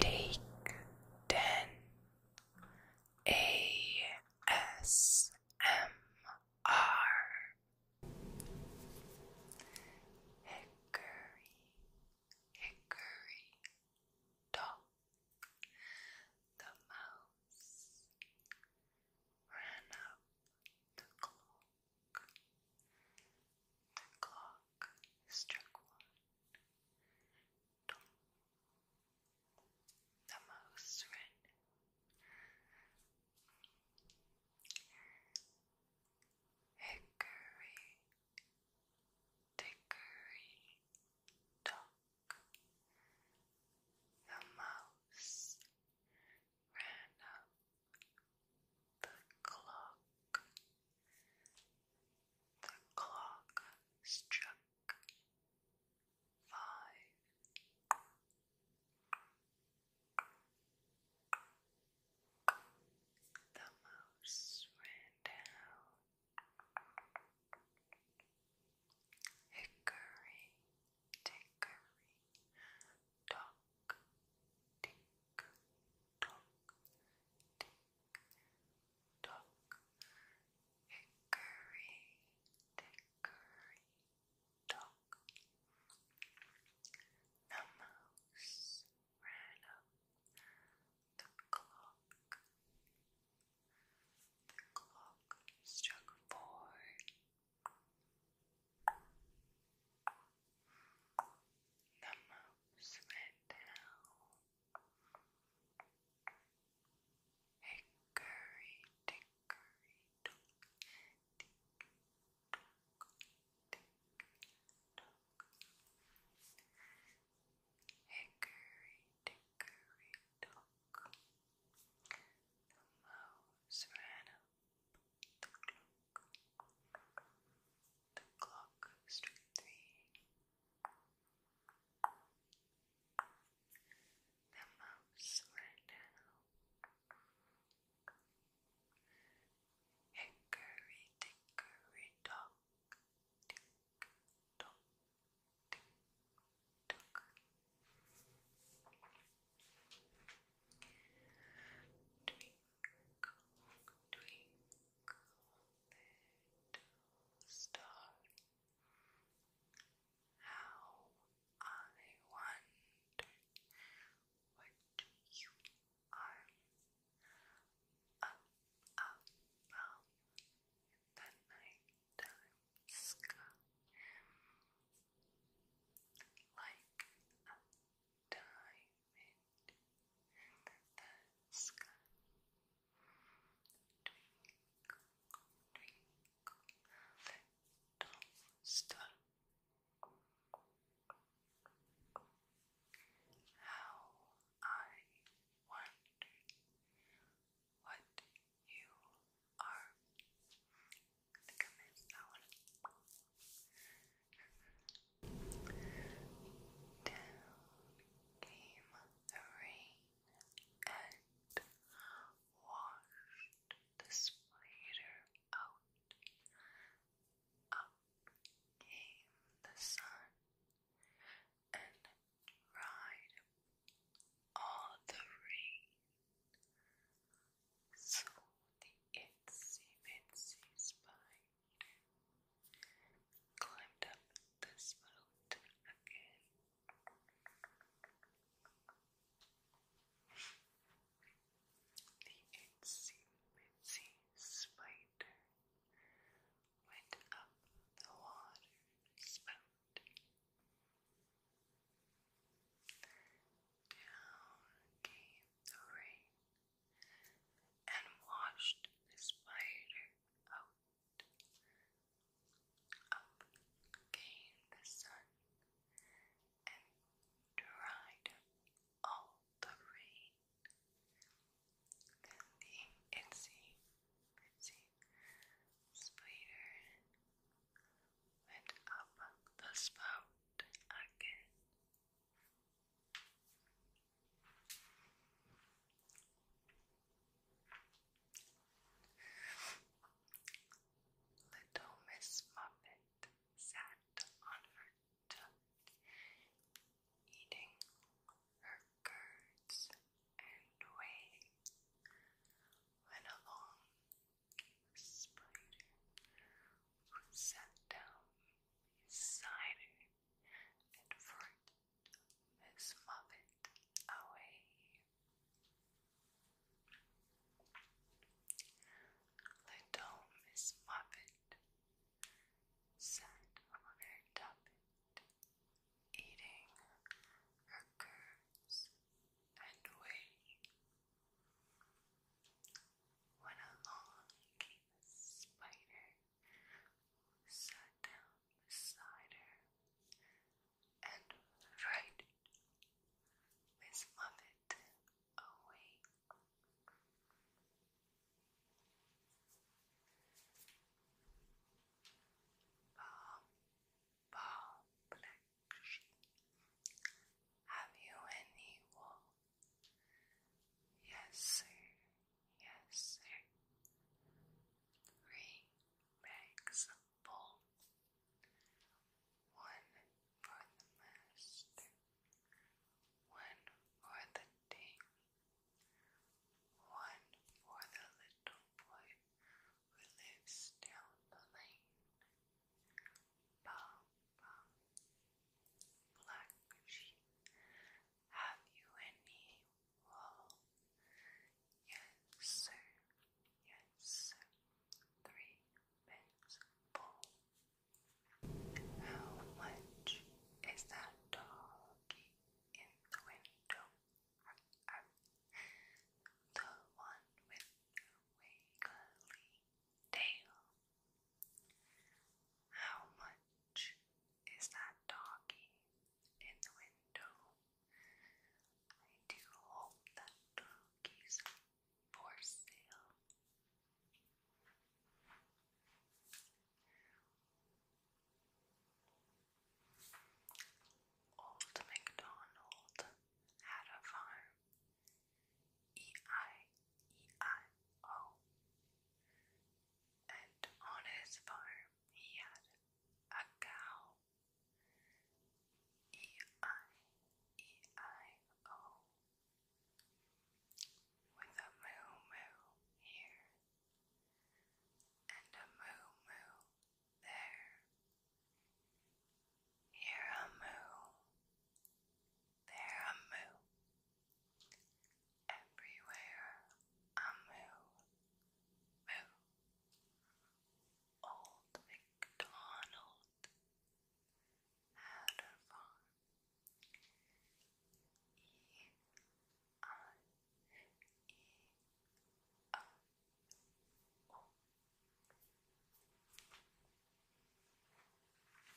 Take 10 ASMR Hickory, Hickory Dog. The mouse ran up the clock. The clock struck one the most, right? Hickory, dickory, dock. The mouse ran up the clock. The clock struck five. The mouse ran down. Hickory, dickory, dock, tick, tock, tick, duck, hickory, The mouse ran up the clock. The clock struck four. The mouse went down Hickory dickory dock, dickory dock, dickory dock. Hickory dickory dock. The mouse ran up the clock clock, string three. The mouse right now. Hickory dickory dock, little star, how I wonder what you are up, up, the nighttime sky, like a diamond movement the sky. Twinkle, twinkle, little star. How I wonder what you are. Down came the rain and washed the spider out. Up came the sun and dried all the rain. So the itsy bitsy spider climbed up this road again. The itsy bitsy spider went up the water spout. Down came the rain and washed the spider out. Up came the sun and dried all the rain. Then the itsy bitsy spider went up the spout again. Little Miss Muffet sat on her tuck, eating her curds and whey, when along came a spider sat down beside her and fruit Miss Muffet away. Little Miss Muffet sat on her tuppet, eating her curds and whey. When along came a spider sat down beside her and frightened Miss Muffet away. Bob, Bob, Black have you any wool? Yes, sir. Yes, sir. Three bags of One for the master. One for the ding. One for the little boy who lives down the lane. Bob, Bob. Black sheep, have you any wool? Yes, sir. Yes, sir. Three pence full. How much is that doggy in the window? The one with the wiggly tail. How much is that doggy in the window? I do hope that doggy's for sale. Old MacDonald had a farm. E I E I O and on his farm he had a cow. E I E I O with a moo moo here and a moo moo there. Here a moo, there a moo. Everywhere a moo. Moo. Old MacDonald had a farm. E I E I O.